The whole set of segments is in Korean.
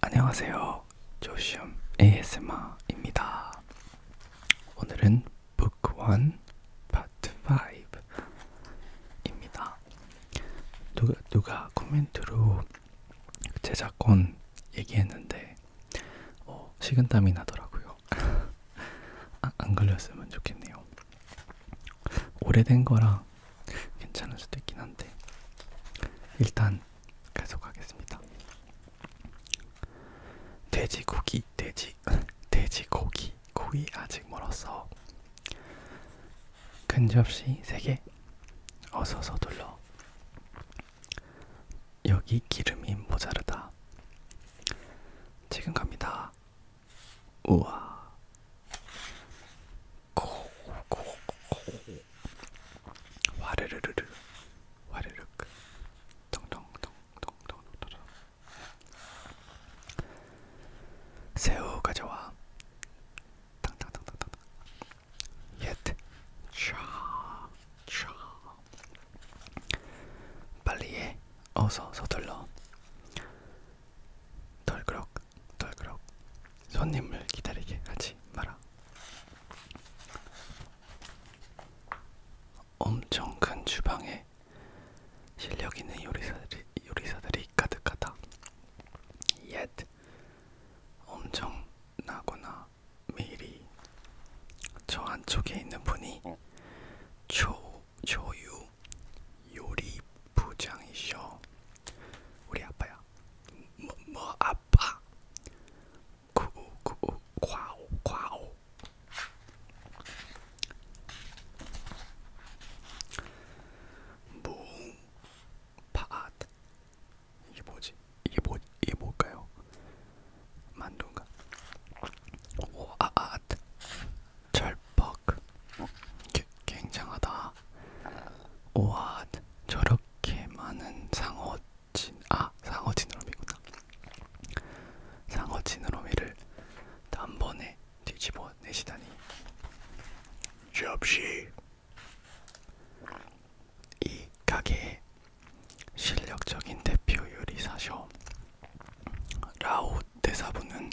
안녕하세요. 조시엄 ASMR입니다. 오늘은 Book 1 Part 5입니다. 누가, 누가 코멘트로 제작권 얘기했는데 어, 식은땀이 나더라고요. 아, 안 걸렸으면 좋겠네요. 오래된 거라 괜찮을 수도 있긴 한데 일단 계속하겠습니다. 돼지고기, 돼지, 돼지고기, 고기 아직 멀었어. 큰 접시 세 개. 어서 서둘러. 여기 기름이 모자르다. 지금 갑니다. 우와, 고고 와르르르르 와르륵 동동동동동동동 새우 가져와 탕탕탕탕탕 yet 샤 샤. 빨리해 어서 서둘러 덜그럭 덜그럭 손님을 기다리게 하지 마라. 엄청 큰 주방에 실력 있는 요리사들이, 요리사들이 가득하다. Yet 엄청나거나 미리 저 안쪽에 있는 분이 조, 어. 조유 요리 부장이셔. 우리 아빠야. 뭐, 뭐 아빠? 구우 구우 과오 과오. 뭉 뭐, 파앗 이게 뭐지? 이게 뭐 이게 뭘까요? 만두인가? 오아앗 절퍽 아, 아, fuck. 굉장하다. 우와, 저렇게 많은 상어진, 아, 상어지느러미구나. 상어지느러미를 단번에 뒤집어 내시다니. 접시. 이 가게의 실력적인 대표 요리사셔. 라오 대사부는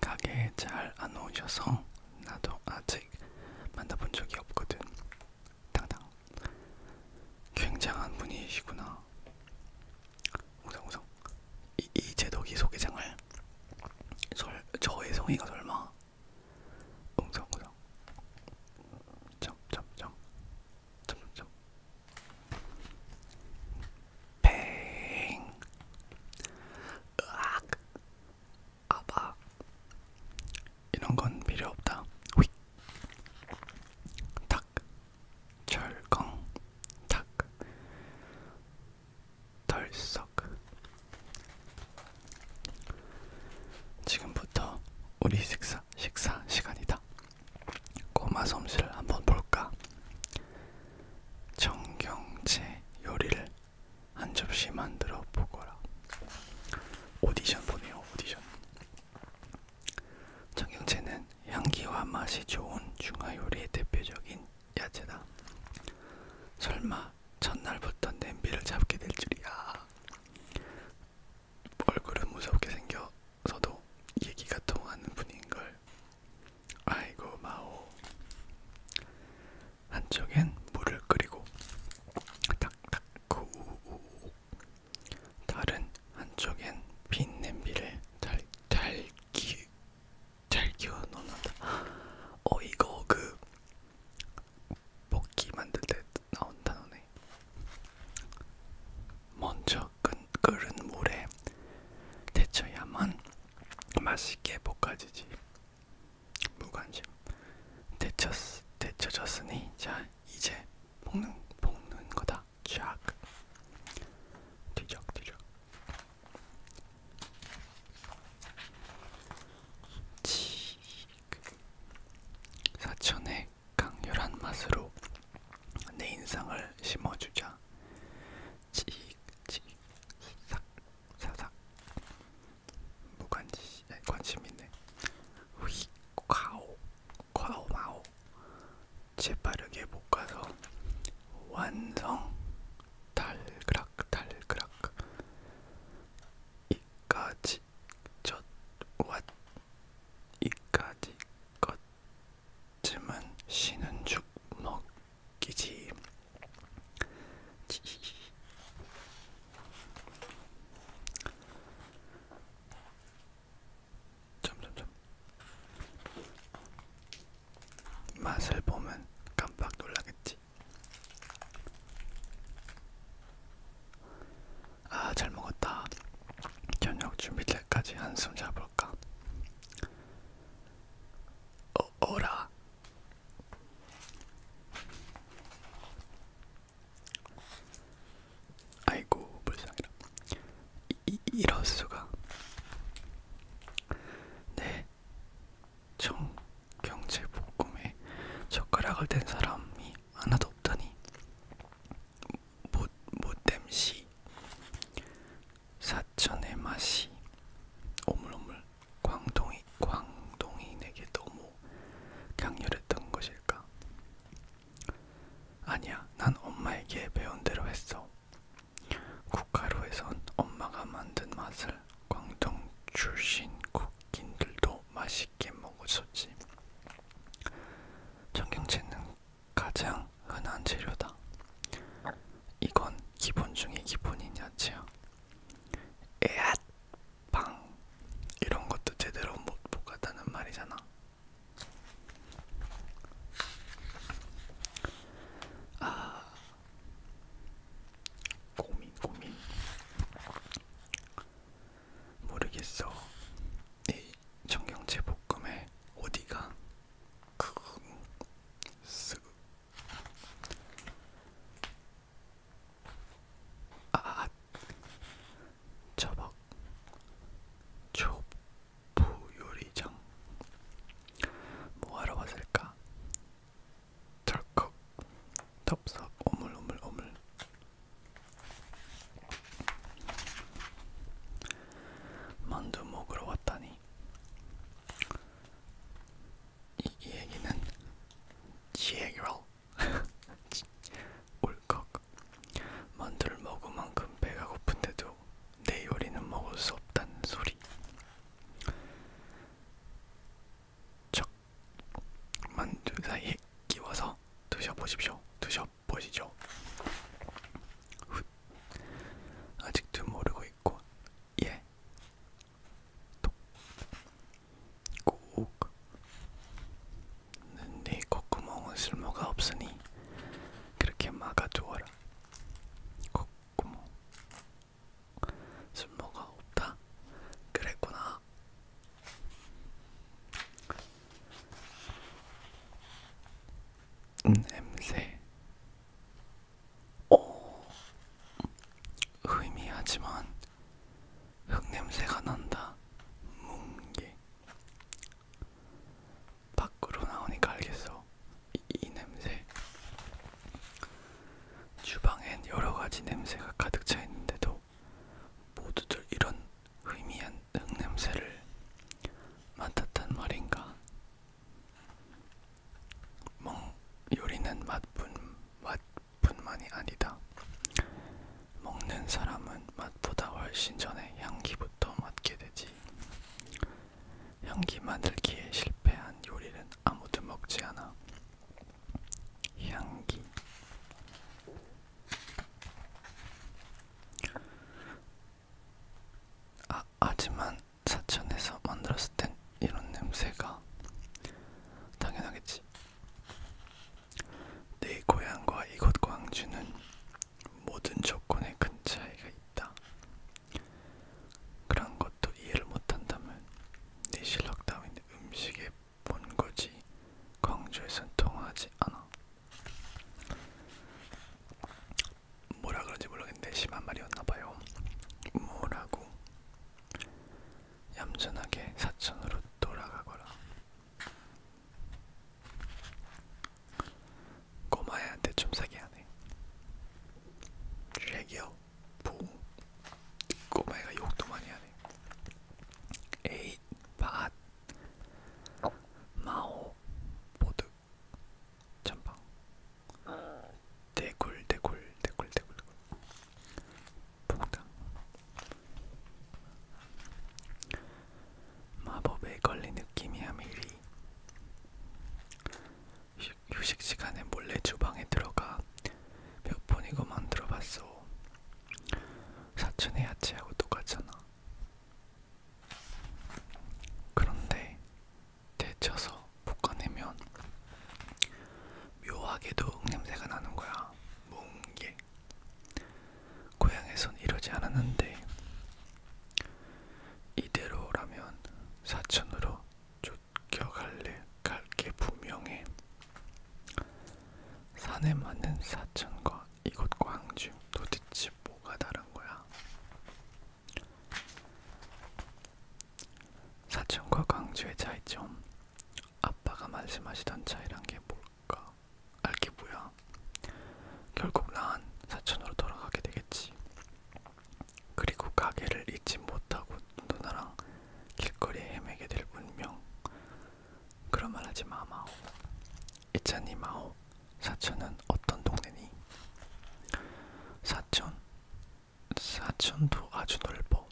가게에 잘 안 오셔서 나도 아직 만나본 적이 없거든. 당당. 굉장한 분이시구나. 우성우성. 이, 이 제독이 소개장을 설, 저의 성의가 설마 웅성웅성 점점점 점점점 뱅 으악 아박 이런 건 필요 없다. 휙. 탁. 철컹. 탁. 덜썩. 지금부터 우리 식사 식사 시간이다. 꼬마 솜씨를 한번 볼까? 정경채 요리를 한 접시 만들어 보거라. 오디션 보네요, 오디션. 청경채는 향기와 맛이 좋은 중화 요리의 대표적인 야채다. 설마 첫날부터 냄비를 잡게 될 줄이야. 얼굴은 무섭게 생겨서도 얘기가 통하는 분인 걸 아이고 마오. 한쪽엔 물을 끓이고 탁탁 우우우. 다른 한쪽엔 빈 냄비를 달 달기 잘 기워 놓는다. 어 이거 그 볶기 만들 때 나온 단어네. 먼저 끓, 끓은 물에 데쳐야만 맛있게 볶아지지 무관심 데쳤, 데쳐졌으니 자 이제 볶는, 볶는 거다 쫙 뒤적뒤적 치 사천의 강렬한 맛으로 내 인상을 심어주자 칙칙 싹 사삭 무관심 네, 관심 있네 휙 과오 과오 마오 재빠르게 못 가서 완성 달그락 달그락 이까지 젖왓 이까지 것쯤은 쉬는 죽먹 기지. 지지. 점점점 맛을 보면 깜빡 놀라겠지. 아, 잘 먹었다. 저녁 준비 때까지 한숨 자볼까? 어라. 아이고 불쌍해라. 이, 이럴 수가. 네. 정 경제 복음에 젓가락을 댄 사람이 하나도 없다니. 못 못됨시. 사천의 맛이 오물오물 광동이 광동이에게 너무 강렬했던 것일까? 아니야, 난 엄마에게 배운 대로 했어. 국가루에선 엄마가 만든 맛을 광동 출신 국인들도 맛있게 먹었었지. 청경채는 가장 흔한 재료다. 이건 기본 중에 기본이냐지요. 에앗 방 이런 것도 제대로 못 보겠다는 말이잖아. 아 고민 고민 모르겠어. 이 청경채 볶음에 어디가 아, 저박 초보 요리장 뭐하러 왔을까? 털컥 덥석 오물오물 오물 만두 먹으러 왔다니 네. 이, 이 얘기는 지혜결 울컥 만두를 먹은 만큼 배가 고픈데도 내 요리는 먹을 수 없다는 소리 척 만두 사이에 끼워서 드셔보십시오 드셔보시죠 아직도 모르고 있고 예. 꼭네 콧구멍은 쓸모가 없으니 그렇게 막아두어라. 콧구멍 쓸모가 없다. 그랬구나. 냄새 오, 어? 의미하지만 흙냄새가 난다. 뭉게. 밖으로 나오니까 알겠어. 이, 이 냄새. 주방엔 여러 가지 냄새가 가득 차 있는데도 모두들 이런 의미한 흙냄새를 맡았단 말인가? 멍 요리는 맛뿐 맛뿐만이 아니다. 먹는 사람은 맛보다 훨씬 전에 향기부터 맡게 되지. 향기 만들기에 실패한 요리는 아무도 먹지 않아. 향기 아, 하지만 사천에서 만들었을 땐 이런 냄새가 당연하겠지. 내 고향과 이곳 광주는 모든 조건에 큰 차이가 있다. 그런 것도 이해를 못한다면 네 실력 따윈 음식에 본거지 광주에선 통하지 않아. 뭐라 그런지 모르겠는데 심한 말이었나봐요. 뭐라고? 얌전하게 사천으로 돌아가거라. 꼬마애한테 좀 사기하네. 쉐기요, 봉. 꼬마애가 욕도 많이 하네. 에잇, 밭, 마오, 보득. 전방 아. 대굴 대굴 대굴 대굴 폭탄 마법에 걸린 느낌이야 미리 휴식 시간에 몰래 주방에 들어가 몇 번이고 만들어봤어 사촌의 야채하고 똑같잖아 그런데 데쳐서 볶아내면 묘하게도 냄새가 나는 거야. 뭉게. 고향에선 이러지 않았는데 이대로라면 사천으로 쫓겨갈래 갈게 분명해. 산에 많은 사천과 이것과 항주 도대체 뭐가 다른 거야? 사천과 광주의 그 차이점. 아빠가 말씀하시던 차이란 게 뭘까? 알게 뭐야? 결국 난 사천으로 돌아가게 되겠지. 그리고 가게를 잊지 못하고 누나랑 길거리에 헤매게 될 운명. 그런 말 하지 마, 마오. 이찬이 마오. 사천은 어떤 동네니? 사천? 사천도 아주 넓어.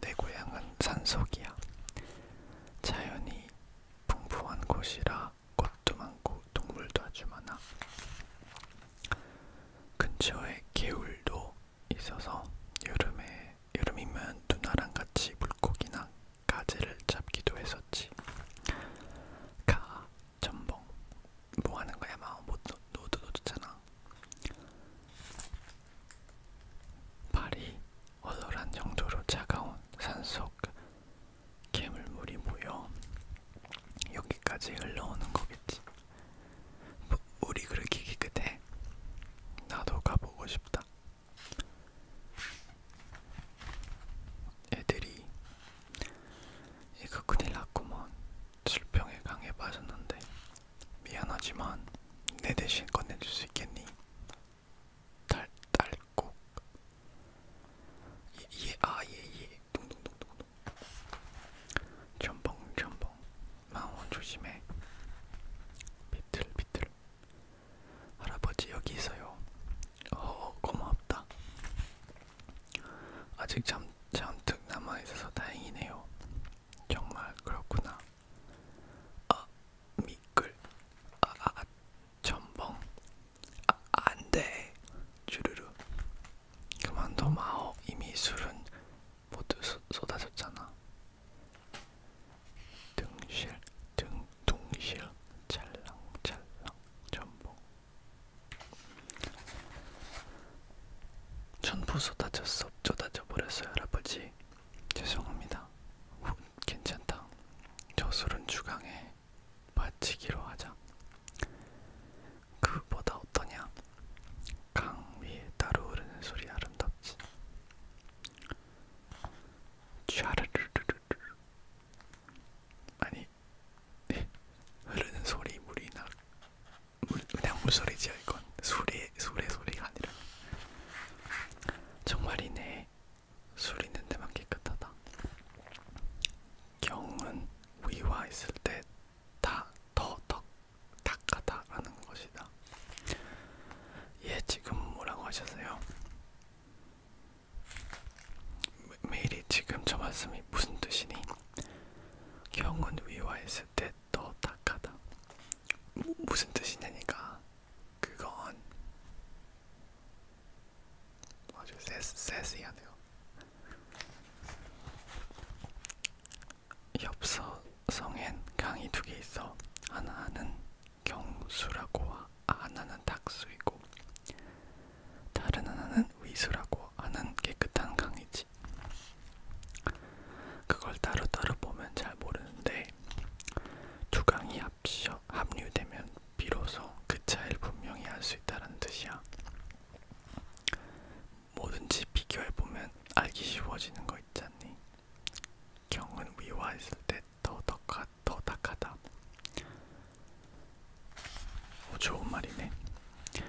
내 고향은 산속이야. 자연이 풍부한 곳이라 꽃도 많고 동물도 아주 많아. 근처에 개울도 있어서 여름에 여름이면 누나랑 같이 물고기나 가지를 잡기도 했었지. 가, 전봉, 뭐 하는 거야? 막 노드 뭐 노드잖아. 발이 얼얼한 정도로 차가운 산속 개물물이 모여 여기까지 흘러오는 거겠지. 물이 뭐, 그렇게 깨끗해? 나도 가보고 싶다. 애들이 이거 큰일 났구먼 뭐 질병에 강해 빠졌는데 미안하지만 내 대신 건네줄 수 있겠니? 달, 달곡 예, 예, 아, 예, 예, 둥둥둥둥둥 전봉, 전봉, 망원 조심해 비틀, 비틀 할아버지 여기 있어요. 어, 어 고맙다. 아직 잠 잔뜩 남아 있어서 다행이네요. 정말 그렇구나. 아 미끌. 아아 전봉. 아, 아, 아, 아 안돼. 주르르. 그만둬 마오. 이미 술은 모두 쏟아졌잖아. 등실 등통시야 찰랑찰랑 전복 전부 쏟아졌어 쏟아져 버렸어요 할아버지 죄송합니다 후, 괜찮다 저 술은 주강에 바치기로 하자 그보다 어떠냐 강 위에 따로 흐르는 소리 아름답지 샤르르르르르 아니 네. 흐르는 소리 물이나 물, 그냥 물소리지요 이건 술의 술의 소리가 아니라 정말이네 술 있는 데만 깨끗하다 경은 위와 있을 때 다더 닦아다라는 것이다 예 지금 뭐라고 하셨어요? 메일이 지금 저 말씀이 무슨 뜻이니? 경은 위와 했을 때더 탁하다. 무, 무슨 뜻이냐니까? 그건 아주 세세세세하네요. 엽서성엔 강이 두 개 있어. 하나는 경수라고 하나는 닥수이고 다른 하나는 위수라고 하는 깨끗한 강이지. 그걸 따로따로 보면 잘 모르는데 두 강이 합쳐 합류되면 비로소 그 차이를 분명히 알 수 있다는 뜻이야. 뭐든지 비교해보면 알기 쉬워지는 거 있잖니. 경은 위와 있을 때 더덕하 더닥하다. 오, 좋은 말이네. 내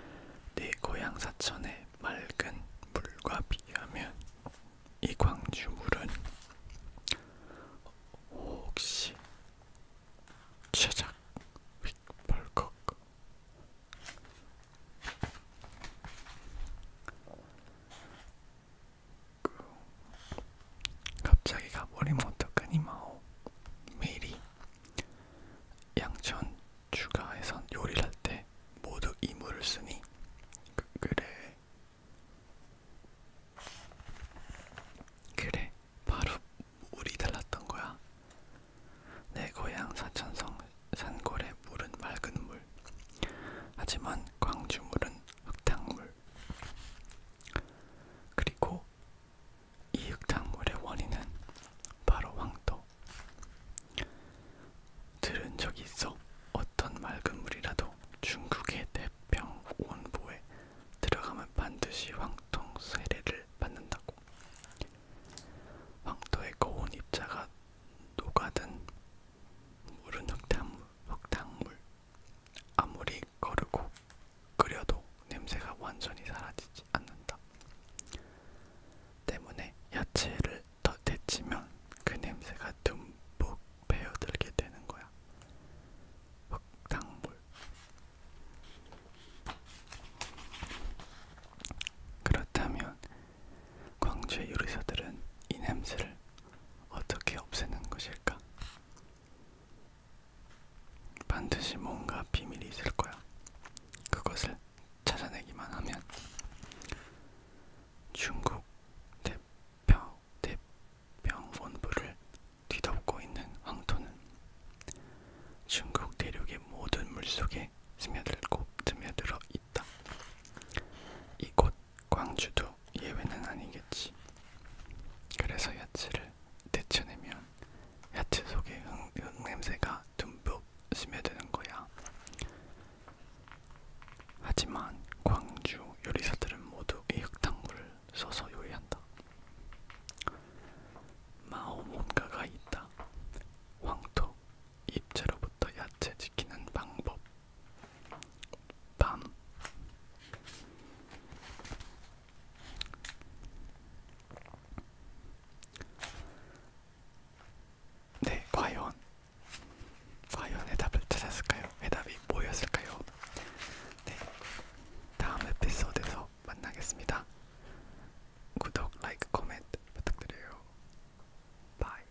네 고향 사천의 맑은 물과 비하면 이 광주 물은 혹시 최작 휙벌컥 갑자기 가버리면 어떡하니 마오 메리 양천 추가에선 요리를 할때 모두 이물을 쓰니 그, 그래 그래 바로 물이 달랐던 거야 내 고향 사천성 산골의 물은 맑은 물 하지만 광주물은 흙탕물 그리고 이 흙탕물의 원인은 바로 황토. 들은 적이 있어 어떤 맑은 물이라도 중국의 대평온보에 들어가면 반드시 황토 세례를 받는다고. 황토의 고운 입자가 녹아든 물은 흙탕물, 흙탕물. 아무리 거르고 끓여도 냄새가 완전히 사라지지 않는다. 때문에 야채를 더 데치면 그 냄새가 듬뿍 배어들게 되는 거야. 흙탕물. 그렇다면 광주의 요리사들은 이 냄새를 어떻게 없애는 것일까? 반드시 뭔가 비밀이 있을 거야. 그것을 찾아내기만 하면 중국 대표 대병본부를 뒤덮고 있는 황토는 중국 대륙의 모든 물속에 스며들고 스며들어 있다. 이곳 광주도 예외는 아니겠지. 그래서 야채를 데쳐내면 야채 속에 흙, 흙 냄새가 듬뿍 스며드는 거야. 하지만 광주 요리사들은 모두 이 흙탕물을 써서 요리한다. 마오 뭔가가 있다. 황토, 잎채로부터 야채 지키는 방법 밤 네, 과연 과연 해답을 찾았을까요? 해답이 뭐였을까요? 네, 다음 에피소드에서 만나겠습니다. 구독, 라이크, 코멘트 부탁드려요. 바이.